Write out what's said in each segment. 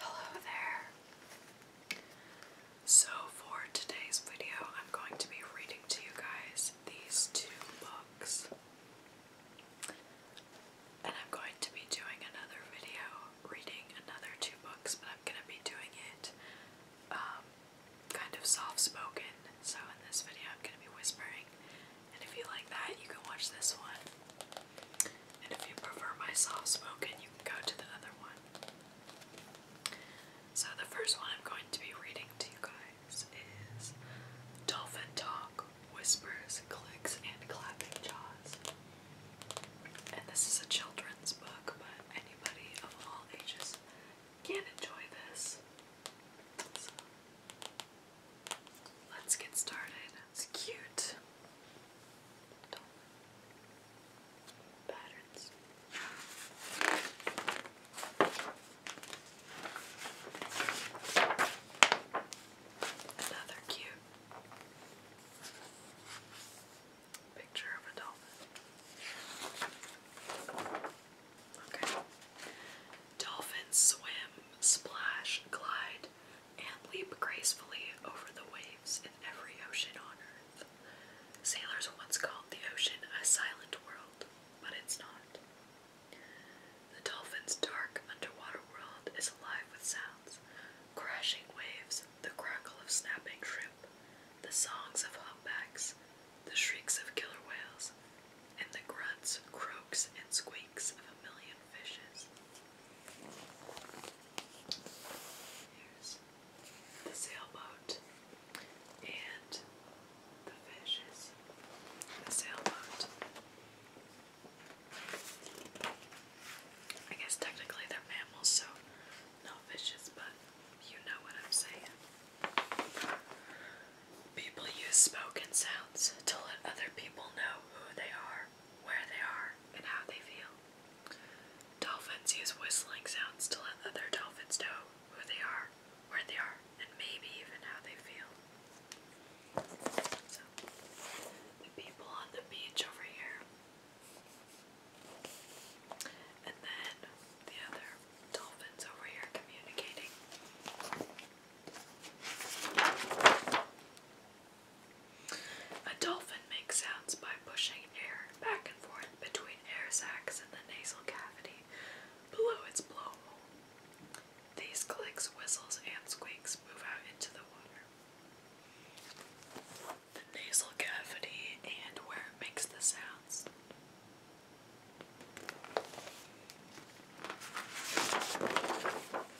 Hello there. So for today's video, I'm going to be reading to you guys these two books. And I'm going to be doing another video reading another two books, but I'm going to be doing it um, kind of soft-spoken. So in this video, I'm going to be whispering. And if you like that, you can watch this one. And if you prefer my soft spoken, you can go to the other one. So, the first one I'm going to be reading to you guys is Dolphin Talk Whispers, Clicks, and Clapping Jaws. And this is a children's book, but anybody of all ages can enjoy this. let's get started. It's cute. Patterns. Another cute picture of a dolphin. Okay. Dolphins swim, splash, glide, and leap gracefully over the waves in every ocean on earth. Sailors once called the ocean a silent world, but it's not. The dolphin's dark underwater world is alive with sounds crashing waves, the crackle of snapping shrimp, the songs of humpbacks, the shrieks of killer whales, and the grunts, croaks, and squeaks of a million fishes. Here's the sailboat and the fishes. The sailboat. I guess technically they're mammals, so no fishes, but you know what I'm saying. People use spoken sounds to let other people know who they are where they are, and how they feel. Dolphins use whistling sounds to let other dolphins know who they are, where they are, and maybe even how they feel. So, the people on the beach over here. And then the other dolphins over here communicating. A dolphin makes sounds by pushing air back and forth between air sacs in the nasal cavity below its blowhole. These clicks, whistles, and squeaks move out into the water. The nasal cavity and where it makes the sounds.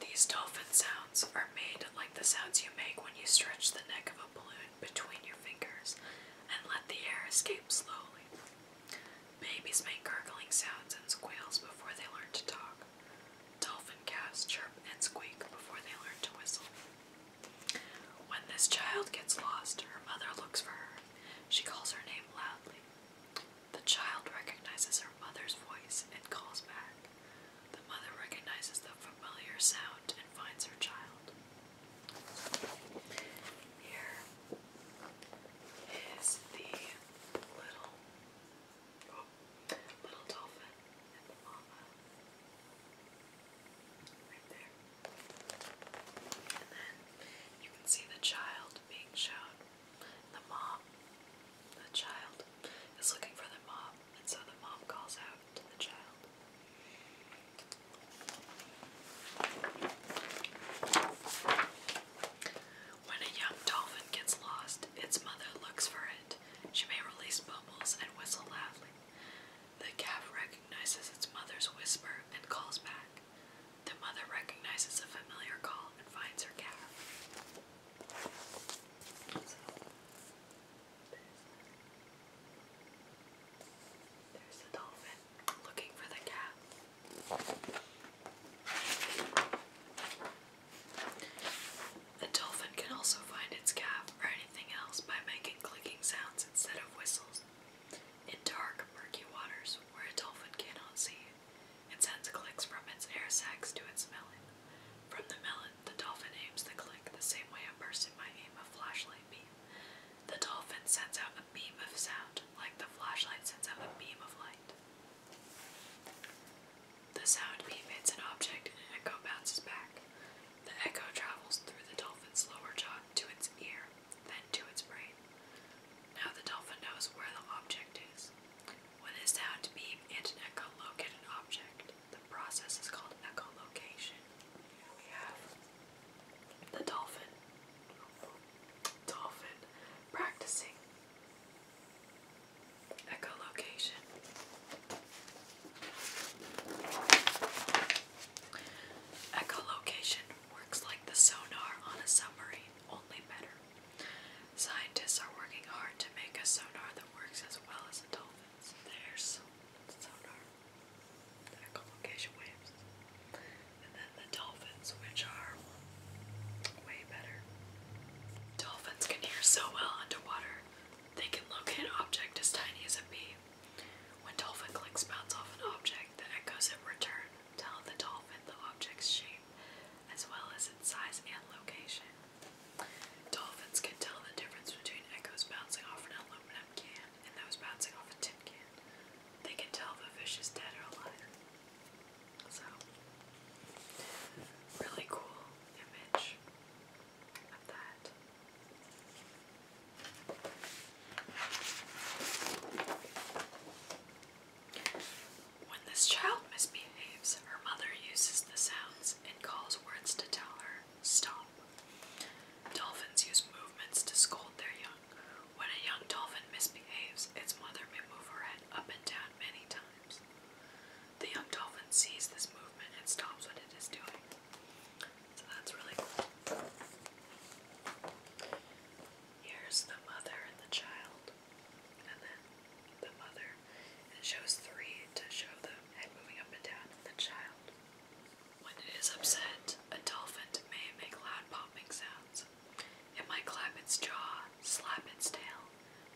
These dolphin sounds are made like the sounds you make when you stretch the neck of a balloon between your fingers and let the air escape slowly. Babies make gurgling sounds and squeals before they learn to talk. Dolphin calves chirp and squeak before they learn to whistle. When this child gets lost, her mother looks for her. She calls her name loudly. The child recognizes her mother's voice and calls back. The mother recognizes the familiar sound and finds her child. Here is the little oh, little dolphin and the mama. Right there. And then you can see the child being shown the mom, the child, is looking for the mom, and so the mom calls out to the child. When a young dolphin gets lost, its mother looks for it. She may release bubbles and whistle loudly. The calf recognizes its mother's whisper and calls back. The mother recognizes a familiar call and finds her calf there's the dolphin looking for the cat. A dolphin can also find its calf or anything else by making clicking sounds instead of whistles. In dark, murky waters where a dolphin cannot see, it sends clicks from its air sacs to its melon. From the melon, the dolphin aims the click the same way a person might aim a flashlight beam. The dolphin sends out a beam of sound, like the flashlight sends out a beam of light. The sound beam hits an object and an echo bounces back. The echo travels through the dolphin's lower jaw to its ear, then to its brain. Now the dolphin knows where the object is. When a sound beam and an echolocate an object, the process is called echolocation. We have the dolphin. Dolphin practicing echolocation. Echolocation works like the sonar on a submarine, only better. Scientists are working hard to make a sonar that works as well as a dolphin's. There's sonar, echolocation waves. And then the dolphins, which are way better. Dolphins can hear so well underwater, they can locate an object as tiny as a bee. When dolphin clicks bounce off an object, the echoes in return tell the dolphin the object's shape as well as its size and location. Dolphins can tell the difference between echoes bouncing off an aluminum can and those bouncing off a tin can. They can tell if a fish is dead or alive. So, really cool image of that. When this child misbehaves, her mother uses the sounds and calls words to tell her, stop. Dolphins use movements to scold their young. When a young dolphin misbehaves, its mother may move her head up and down many times. The young dolphin sees this movement and stops what it is doing. So that's really cool. Here's the mother and the child and then the mother, it shows three to show the head moving up and down of the child. When it is upset, a dolphin may make loud popping sounds. It might clap its jaw, slap its tail,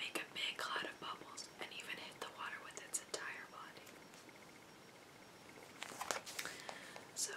make a big cloud of bubbles, and even hit the water with its entire body. So,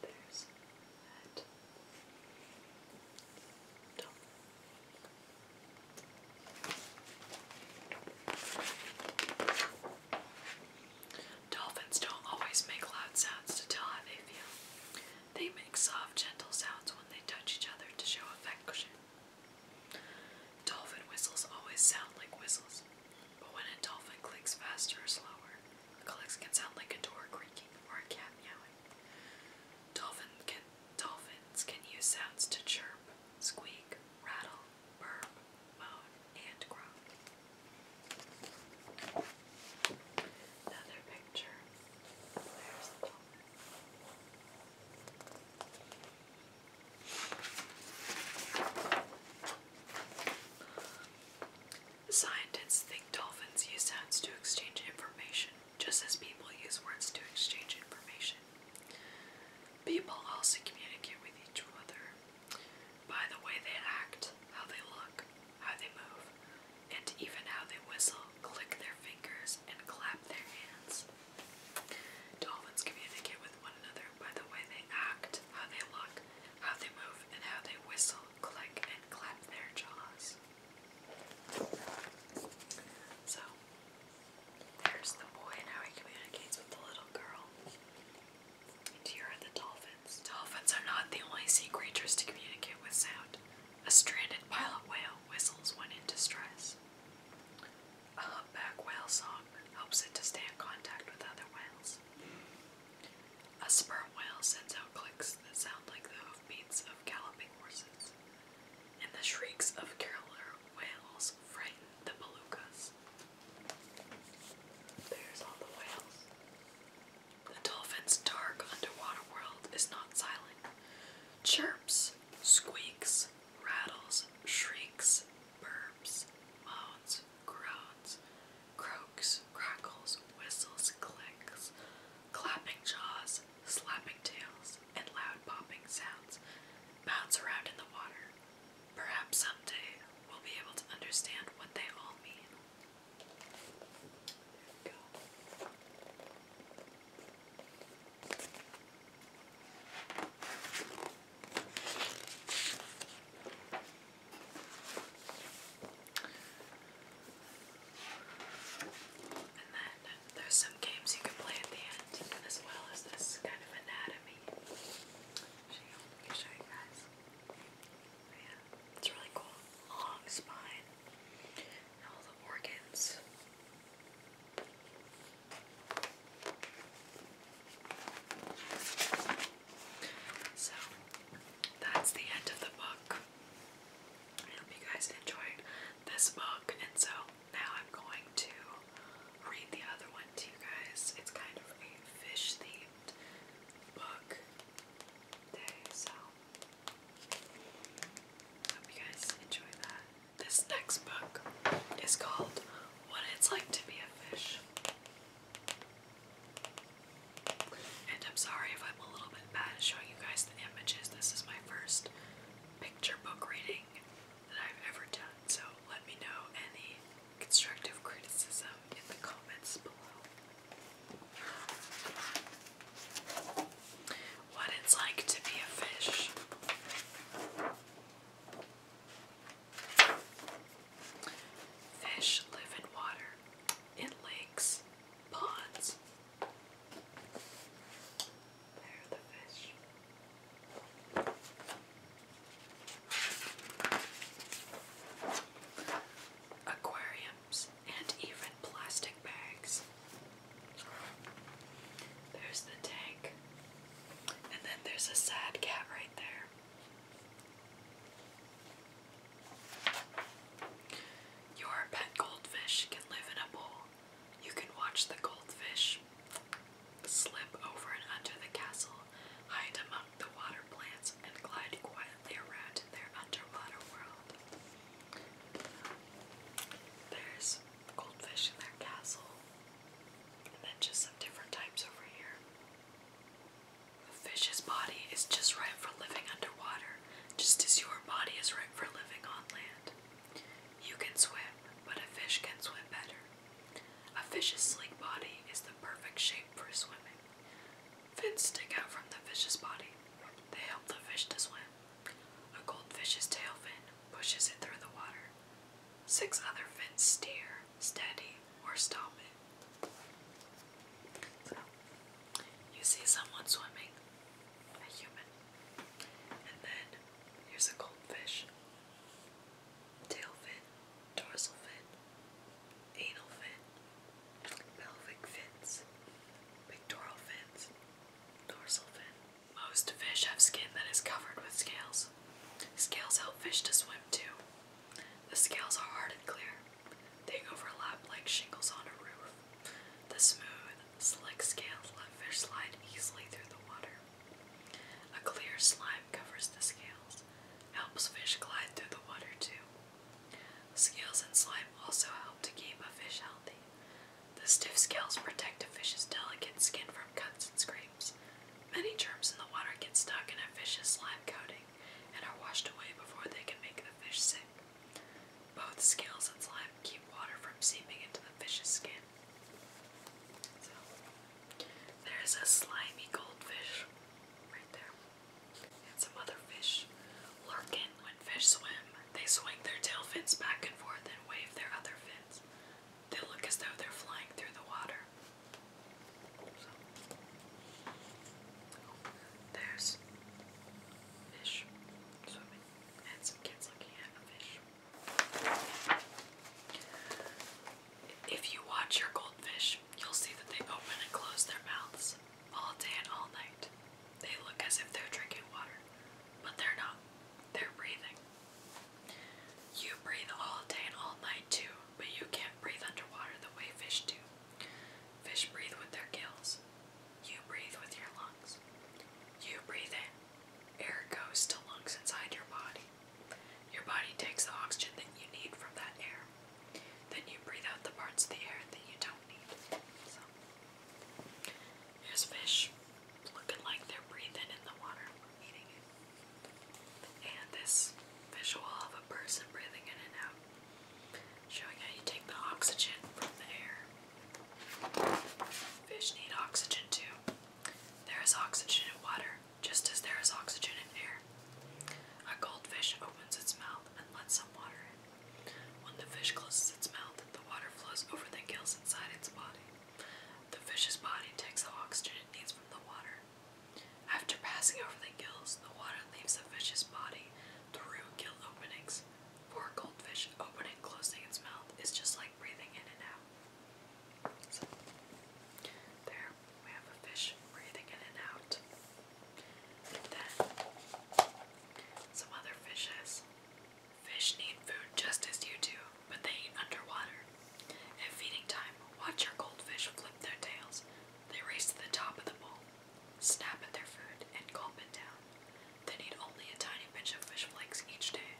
there's Dolphins don't always make loud sounds to tell how they feel. They make soft, gentle sounds when they touch each other to show affection. Dolphin whistles always sound like whistles, but when a dolphin clicks faster or slower, the can sound like a door creaking or a cat meowing. Dolphin can, dolphins can use sounds to chirp, squeak, rattle, burp, moan, and groan. Another picture. Scientists think dolphins use sounds to exchange information, just as people use words to exchange information. People also communicate with each other by the way they act, how they look, how they move, and even how they whistle, click their fingers, and clap their hands. Dolphins communicate with one another by the way they act, how they look, how they move, and how they whistle, click, and clap their jaws. So, there's the boy and how he communicates with the little girl. And here are the dolphins. Dolphins are not the only sea creatures to communicate with sound. A stranded pilot whale whistles when in distress. A humpback whale song helps it to stay in contact with other whales. A sperm whale sends out clicks that sound like the hoofbeats of galloping horses, and the shrieks of killer whales frighten the belugas. There's all the whales. The dolphin's dark underwater world is not silent. Chirps, squeaks, rattles, shrieks, burps, moans, groans, croaks, crackles, whistles, clicks, clapping jaws, slapping tails, and loud popping sounds bounce around in the water. Perhaps someday we'll be able to understand what they all mean. And then there's some games you can play at the end, as well as this kind of anatomy. it's really cool. Long spine, and all the organs. So, that's the end of the book. I hope you guys enjoyed this book, and so now I'm going to read the other one to you guys. It's kind of a fish themed book day, so hope you guys enjoy that. This next book is called What It's Like to Be a Fish. And I'm sorry if I'm a little bit bad showing you guys the images. This is my first picture book reading that I've ever done, so let me know any constructive criticism in the comments below. What it's like to be a fish. Fish live in water, in lakes, ponds. There are the fish. Aquariums and even plastic bags. There's the tank. And then there's a sad cat right there. Your pet goldfish can live in a bowl. You can watch the goldfish slip over and under the castle, hide among the water plants, and glide quietly around in their underwater world. There's goldfish in their castle, and then just some different types over here. A fish's body is just right for living underwater, just as your body is right for living on land. You can swim, but a fish can swim better. A fish's sleek body is the perfect shape for swimming. Fins stick out from the fish's body. They help the fish to swim. A goldfish's tail fin pushes it through the water. Six other fins steer, steady, or stop it you see someone swimming, a human, and then here's a goldfish, tail fin, dorsal fin, anal fin, pelvic fins, pectoral fins, dorsal fin. Most fish have skin that is covered with scales. Scales help fish to swim too. The scales are hard and clear. They overlap like shingles on a roof. The smooth, slick scales let fish slide easily through the water. A clear slime covers the scales, helps fish glide through the water too. Scales and slime also help to keep a fish healthy. The stiff scales protect a fish's delicate skin from cuts and scrapes. Many germs in the water get stuck in a fish's slime coating, and are washed away before they can make the fish sick. Both scales and slime keep water from seeping into the fish's skin. So, there's a slimy goldfish right there. And some other fish lurk in. When fish swim, they swing their tail fins back and forth and wave their other fins. They look as though they're flying through the water. There's fish swimming and some kids looking at a fish. If you watch your goldfish, you'll see that they open and close their mouths all day and all night. They look as if they're drinking water, but they're not. They're breathing. You breathe all day and all night too, but you can't breathe underwater the way fish do. Fish breathe with their gills. You breathe with your lungs. You breathe in. Air goes to lungs inside your body. Your body takes the oxygen that you need from that air. Then you breathe out the parts of the air that you don't need. here's fish looking like they're breathing in the water, eating it. And this visual of a person breathing in and out. Showing how you take the oxygen from the air. Fish need oxygen too. There is oxygen in water, just as there is oxygen in air. A goldfish opens its mouth and lets some water in. When the fish closes its mouth, the water flows over the gills inside its body. The fish's body takes the oxygen it needs from the water after passing over the gills, the water leaves the fish's body through gill openings. For goldfish, opening and closing its mouth is just like breathing in and out. there we have a fish breathing in and out. then, some other fishes. Fish need food just as you do, but they eat underwater. At feeding time, watch your goldfish flip their tails they race to the top of the bowl, snap at their food, and gulp it down. They need only a tiny pinch of fish flakes each day.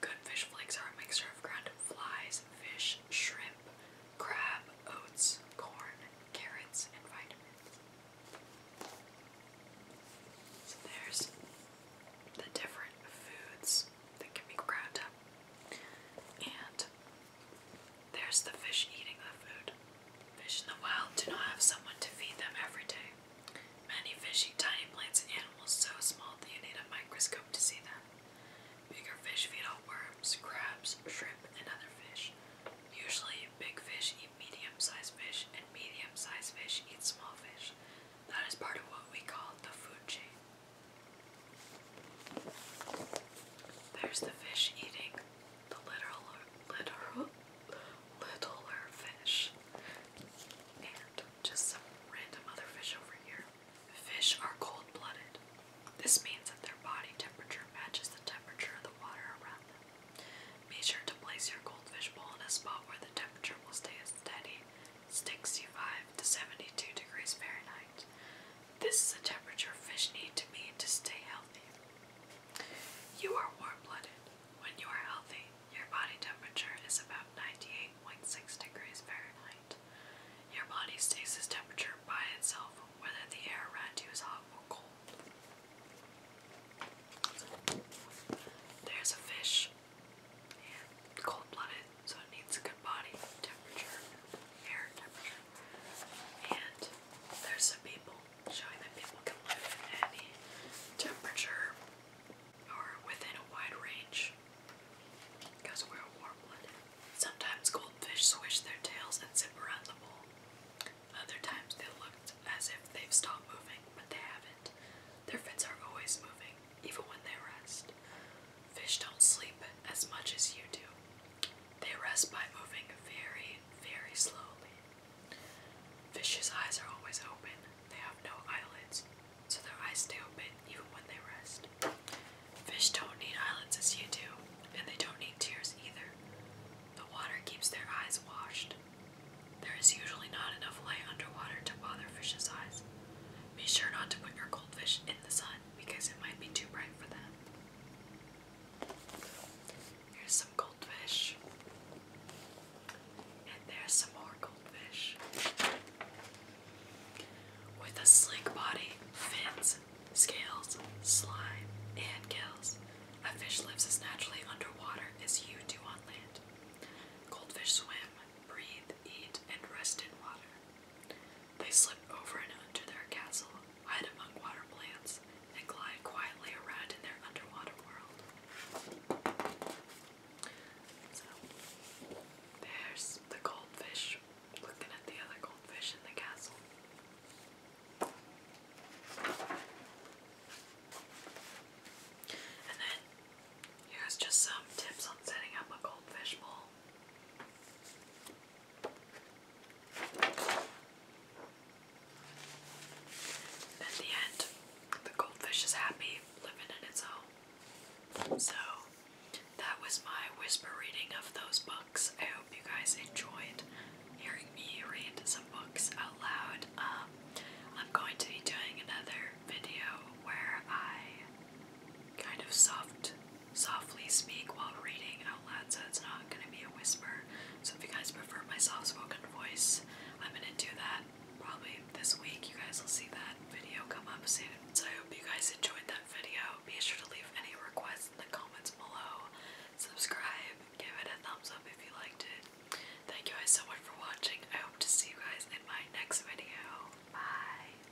Good fish flakes are a mixture of ground flies, fish, shrimp, crab, oats, corn, carrots, and vitamins. So there's the different foods that can be ground And there's the fish eating the food. Fish in the wild do not have someone to feed them every day. Many fish eat tiny plants and animals so small that you need a microscope to see them. Bigger fish feed on worms, crabs, shrimp, and other fish. Usually, big fish eat medium sized fish, and medium sized fish eat small fish. That is part of what we call the food chain. There's the fish eating the little, little, little, little fish. And just some random other fish over here. Fish are cold blooded. This means that their body temperature matches the temperature of the water around them. Be sure to place your goldfish bowl in a spot where the temperature will stay steady 65 to 72 degrees Fahrenheit. This is the temperature fish need to be to stay healthy. You are warm-blooded. When you are healthy, your body temperature is about 98.6 degrees Fahrenheit. Your body stays this temperature by itself, whether the air around you is hot or cold. There's a fish, cold-blooded so it needs a good body temperature, air temperature. And there's some people showing that people can live at any temperature or within a wide range because we're warm planet. Sometimes goldfish swish their tails and zip around the bowl. Other times they look as if they've stopped moving, but they haven't. Their fins are always moving, even when they rest. Fish don't sleep as much as you do. They rest by moving very, very slowly. Fish's eyes are always open. They have no eyelids, so their eyes stay open even when they rest. Fish don't need eyelids as you do, and they don't need tears either. The water keeps their eyes washed. There is usually not enough light underwater to bother fish's eyes. Be sure not to put your goldfish in the sun because it might be too bright for them. Here's some goldfish. And there's some more goldfish. With a slick body, fins, scales, slime, and gills, a fish lives as naturally underwater as you do on land. Goldfish swim, breathe, eat, and rest in water. They slip over and under their castle, hide among water plants, and glide quietly around in their underwater world. So, there's the goldfish looking at the other goldfish in the castle. And then here's just some tips on setting up a goldfish bowl. In the end, the goldfish is happy living in its home. So, that was my whisper reading of those books. I hope you guys enjoyed hearing me read some books out loud. Um, I'm going to be doing another video where I kind of soft softly speak while reading out loud, so it's not going to be a whisper. So if you guys prefer my soft spoken voice, I'm going to do that probably this week. You guys will see that video come up soon. So I hope you guys enjoyed that video. Be sure to leave any requests in the comments below. Subscribe, give it a thumbs up if you liked it. Thank you guys so much for watching. I hope to see you guys in my next video. Bye.